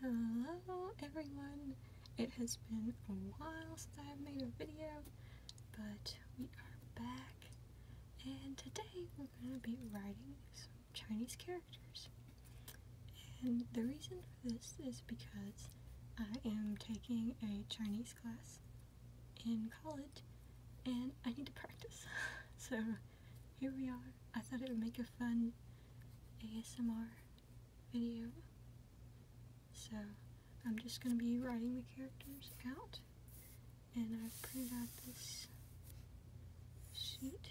Hello everyone! It has been a while since I've made a video, but we are back and today we're going to be writing some Chinese characters. And the reason for this is because I am taking a Chinese class in college and I need to practice. so here we are. I thought it would make a fun ASMR video. So I'm just going to be writing the characters out. And I've printed out this sheet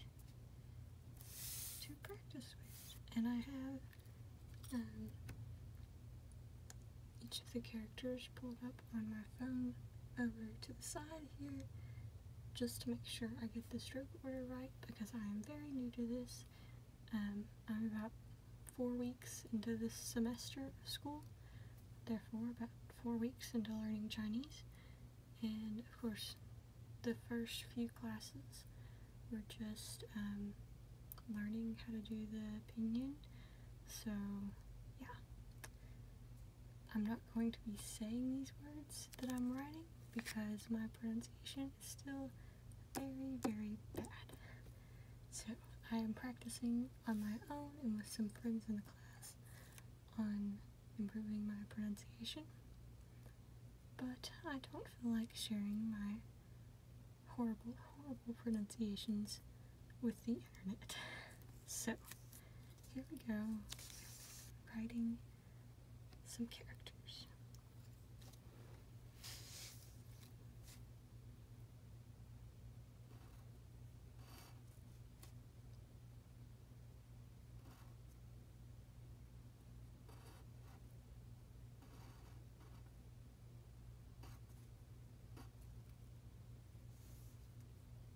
to practice with. And I have um, each of the characters pulled up on my phone over to the side here just to make sure I get the stroke order right because I am very new to this. Um, I'm about four weeks into this semester of school, therefore about four weeks into learning Chinese. And of course, the first few classes were just um, learning how to do the pinyin. So yeah, I'm not going to be saying these words that I'm writing because my pronunciation is still very, very bad. So I am practicing on my own and with some friends in the class on improving my pronunciation. But I don't feel like sharing my horrible, horrible pronunciations with the internet. So here we go, writing some characters.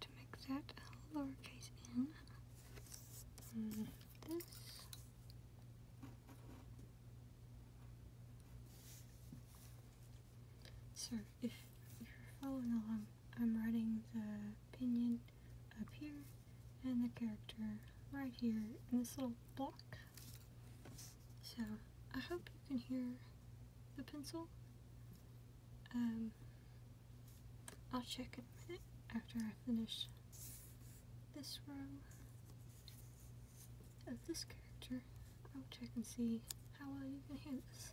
to make that lowercase n, and this. So if you're following along, I'm writing the pinion up here and the character right here in this little block. So I hope you can hear the pencil. Um, I'll check in a minute after I finish this row of this character. I'll check and see how well you can hear this.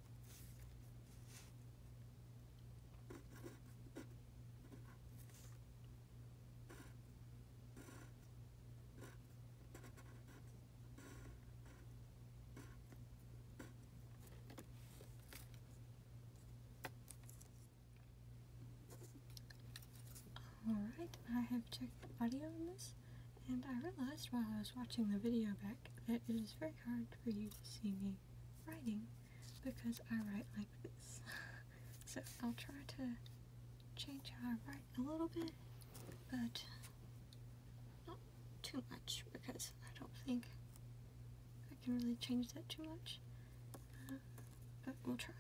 Alright, I have checked the audio on this, and I realized while I was watching the video back that it is very hard for you to see me writing because I write like this. so I'll try to change how I write a little bit, but not too much because I don't think I can really change that too much. Uh, but we'll try.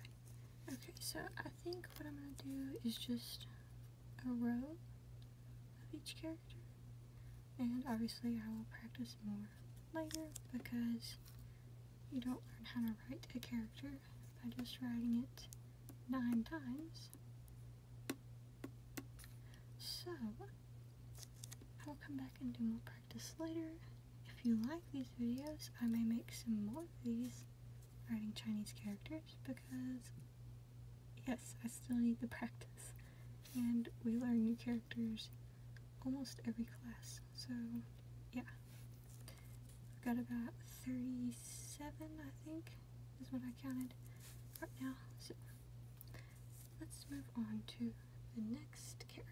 Okay, so I think what I'm going to do is just a row of each character. And obviously I will practice more later because you don't learn how to write a character by just writing it nine times. So, I will come back and do more practice later. If you like these videos, I may make some more of these writing Chinese characters because yes, I still need the practice. And we learn new characters almost every class, so yeah. I've got about 37, I think, is what I counted right now. So let's move on to the next character.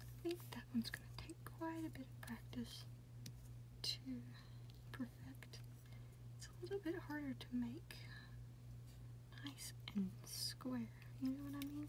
I think that one's going to take quite a bit of practice to perfect. It's a little bit harder to make nice and square, you know what I mean?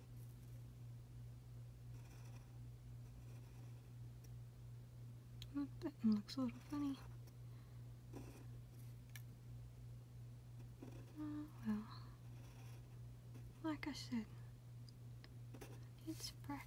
that one looks a little funny. Oh, well. Like I said, it's practice.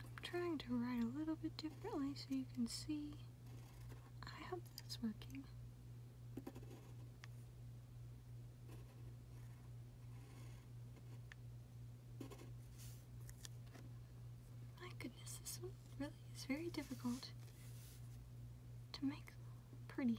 I'm trying to write a little bit differently so you can see. I hope that's working. My goodness, this one really is very difficult to make pretty.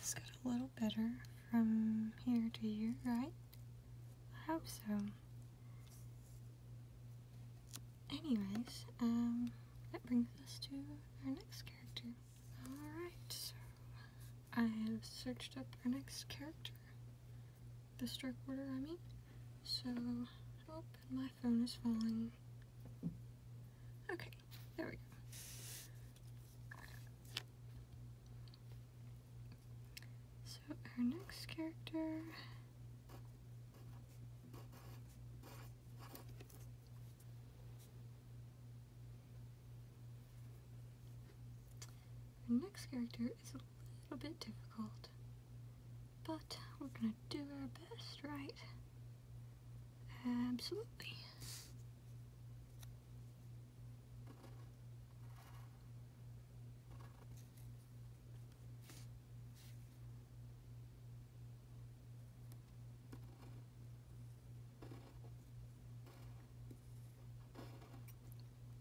It's got a little better from here to here, right? I hope so. Anyways, um, that brings us to our next character. Alright, so I have searched up our next character. The strike order, I mean. So, oh, my phone is falling. Okay, there we go. So our next character our next character is a little bit difficult, but we're gonna do our best, right? Absolutely.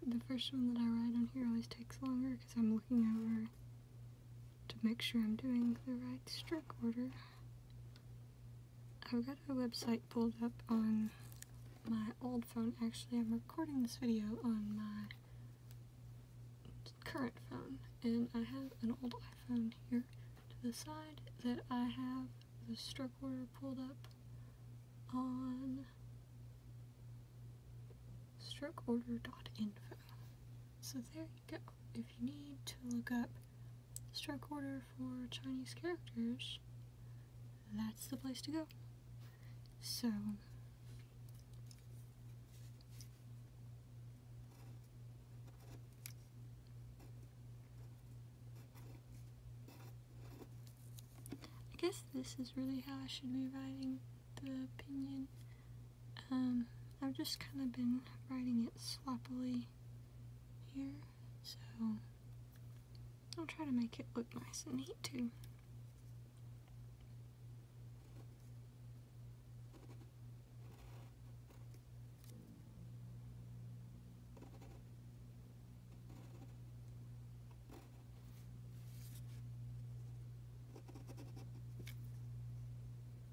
The first one that I write on here always takes longer because I'm looking over to make sure I'm doing the right stroke order. I've got a website pulled up on my old phone. Actually, I'm recording this video on my current phone, and I have an old iPhone here to the side that I have the stroke order pulled up on strokeorder.info. So there you go if you need to look up stroke order for Chinese characters, that's the place to go. So, I guess this is really how I should be writing the opinion. Um, I've just kind of been writing it sloppily here, so I'll try to make it look nice and neat too.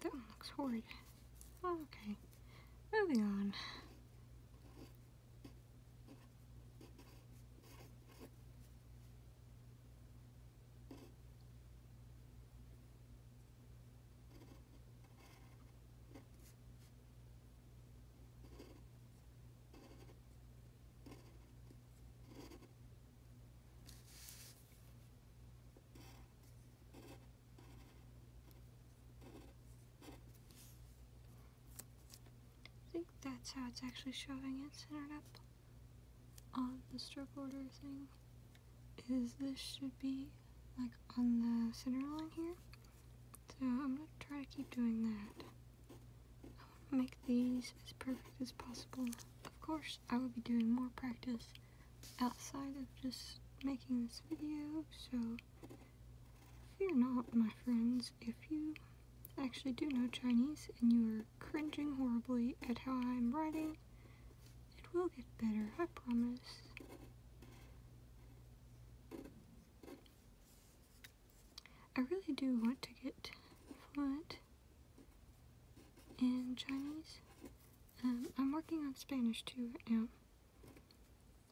That one looks horrid. Oh, okay, moving on. I think that's how it's actually showing it centered up on the stroke order thing is this should be like on the center line here so I'm gonna try to keep doing that. I want to make these as perfect as possible. Of course, I will be doing more practice outside of just making this video, so fear not, my friends, if you actually do know Chinese and you are cringing horribly at how I'm writing, it will get better, I promise. I really do want to get fluent in Chinese. Um, I'm working on Spanish too right now.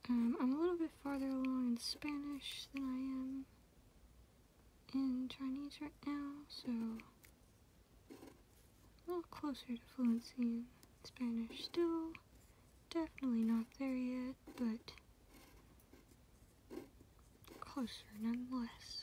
Um, I'm a little bit farther along in Spanish than I am in Chinese right now, so a little closer to fluency in Spanish. Still definitely not there yet but closer nonetheless.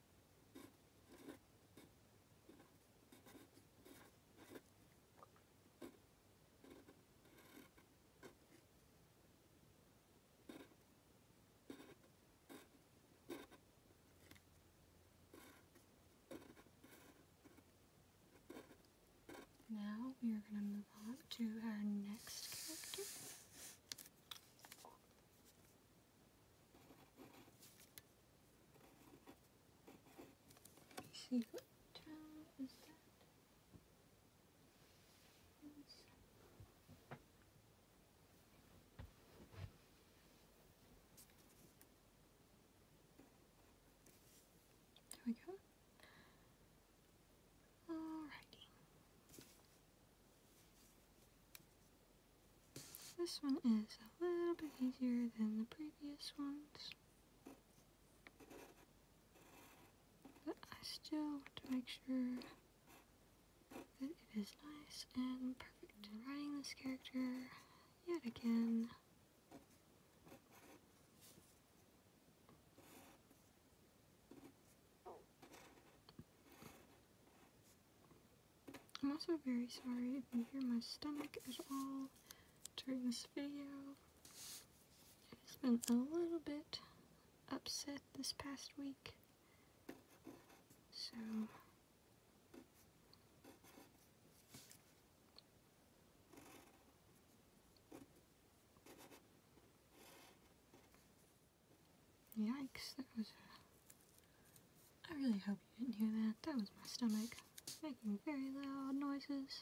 Now we are going to move on to our next character see what town There we go. Alrighty. This one is a little bit easier than the previous ones. But I still want to make sure that it is nice and perfect. Writing this character yet again. I'm also very sorry if you hear my stomach at all during this video. It's been a little bit upset this past week. So Yikes, that was... I really hope you didn't hear that. That was my stomach making very loud noises.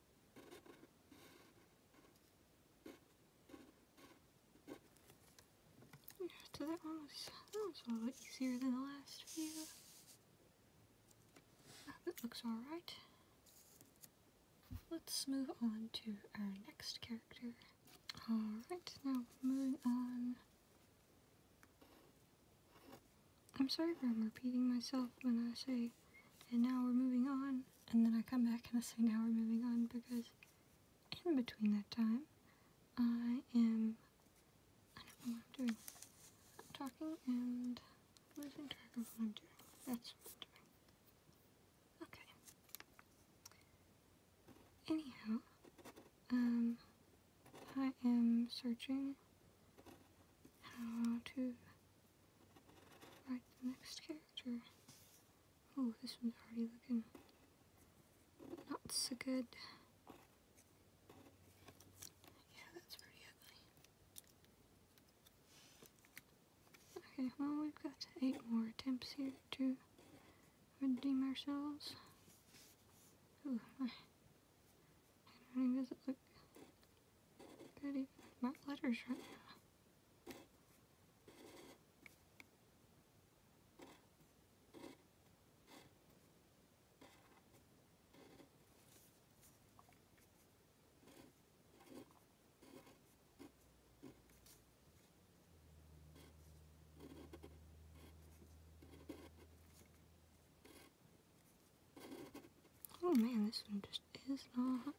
So that one was, a lot easier than the last few. That looks alright. Let's move on to our next character. Alright, now moving on. I'm sorry if I'm repeating myself when I say and now we're moving on. And then I come back and I say, now we're moving on because in between that time, I am, I don't know what I'm doing. I'm talking and losing track of what I'm doing. That's what I'm doing. Okay. Anyhow, um, I am searching how to Right, the next character. Oh, this one's already looking not so good. Yeah, that's pretty ugly. Okay, well, we've got eight more attempts here to redeem ourselves. Ooh, my doesn't look not even, letters right now. Oh man, this one just is not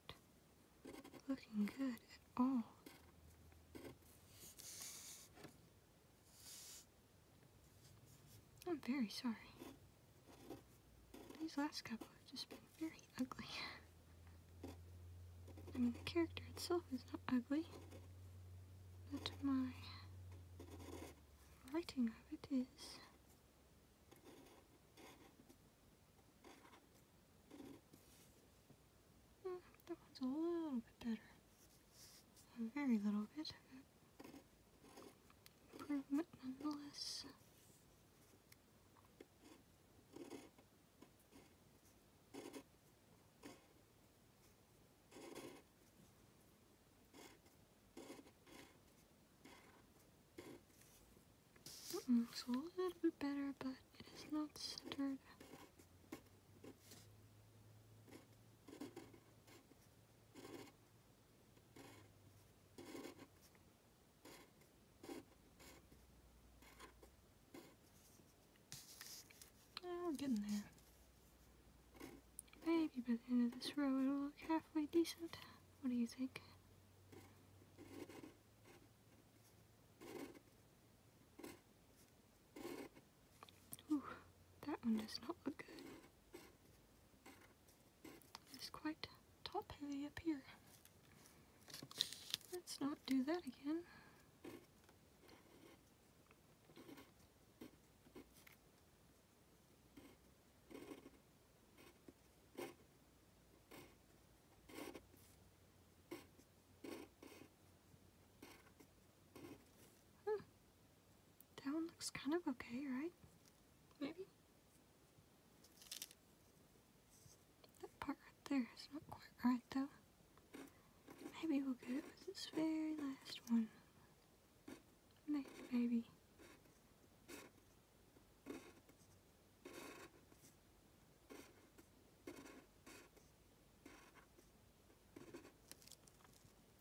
looking good at all. I'm very sorry. These last couple have just been very ugly. I mean, the character itself is not ugly, but my writing of it is that one's a little bit better. A very little bit. Improvement nonetheless. Mm -mm, a little bit better, but it is not centered. Oh, we getting there. Maybe by the end of this row it'll look halfway decent. What do you think? that one does not look good. It's quite top heavy up here. Let's not do that again. Hmm. That one looks kind of okay, right? Maybe? That part right there is not quite right, though. Maybe we'll get it with this very last one. Maybe, maybe.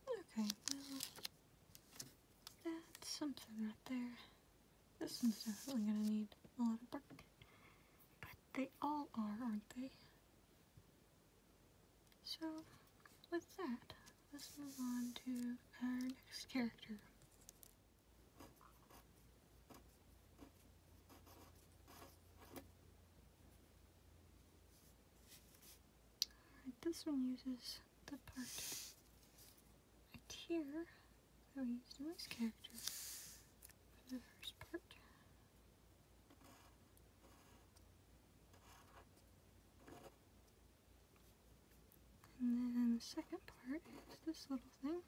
Okay, well, that's something right there. This one's definitely gonna need a lot of work. But they all are, aren't they? So, with that, let's move on to our next character. Alright, this one uses the part right here that we used in this character for the first part. And then the second part is this little thing.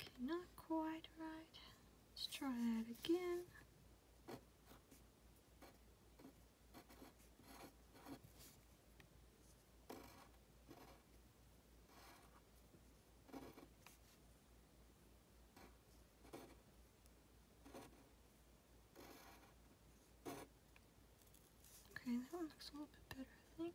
Okay, not quite right. Let's try that again. Okay, that one looks a little bit better, I think.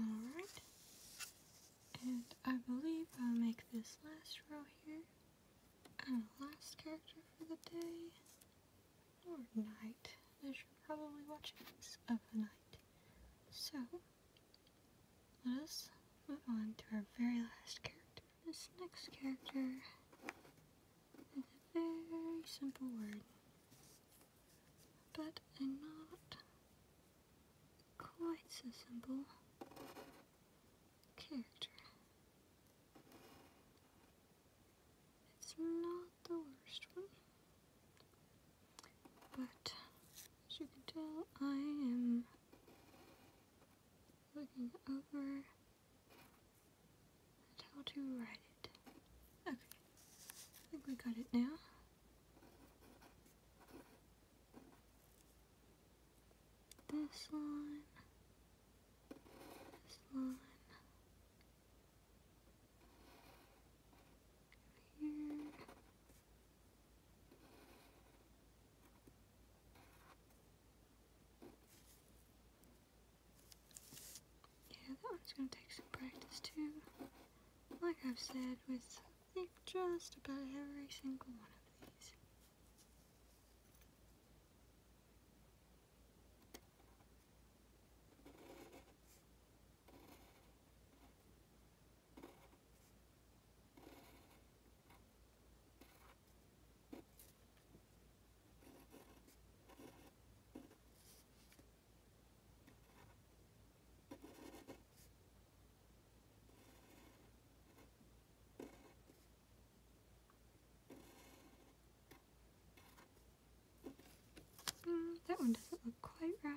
Alright. And I believe i make this last row here and last character for the day or night. As you're probably watching this of the night. So, let us move on to our very last character. This next character is a very simple word, but not quite so simple character. It's not the worst one, but as you can tell, I am looking over how to write it. Okay. I think we got it now. This line. This line. Here. Yeah, that one's going to take some practice too. Like I've said with, just about every single one of these. Mm, that one doesn't look quite right.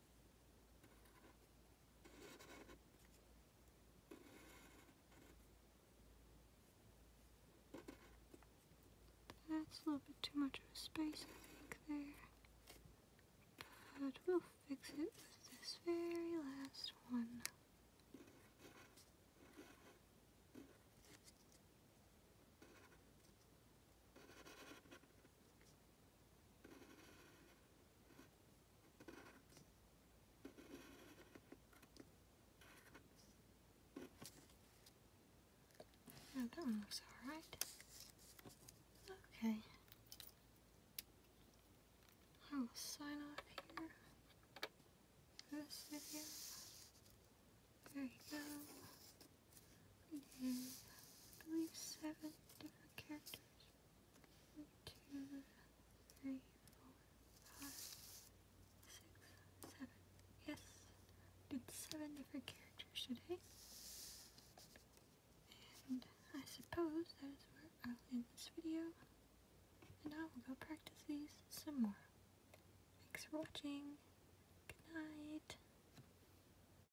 That's a little bit too much of a space, I think, there. But we'll fix it with this very last one. Now oh, that one looks alright. Okay. I will sign off here for this video. There you go. Mm-hmm. I believe, seven different characters. One, two, three, four, five, six, seven. Yes, did seven different characters today. And I suppose that is where I'll end this video. And I will go practice these some more. Thanks for watching. Good night.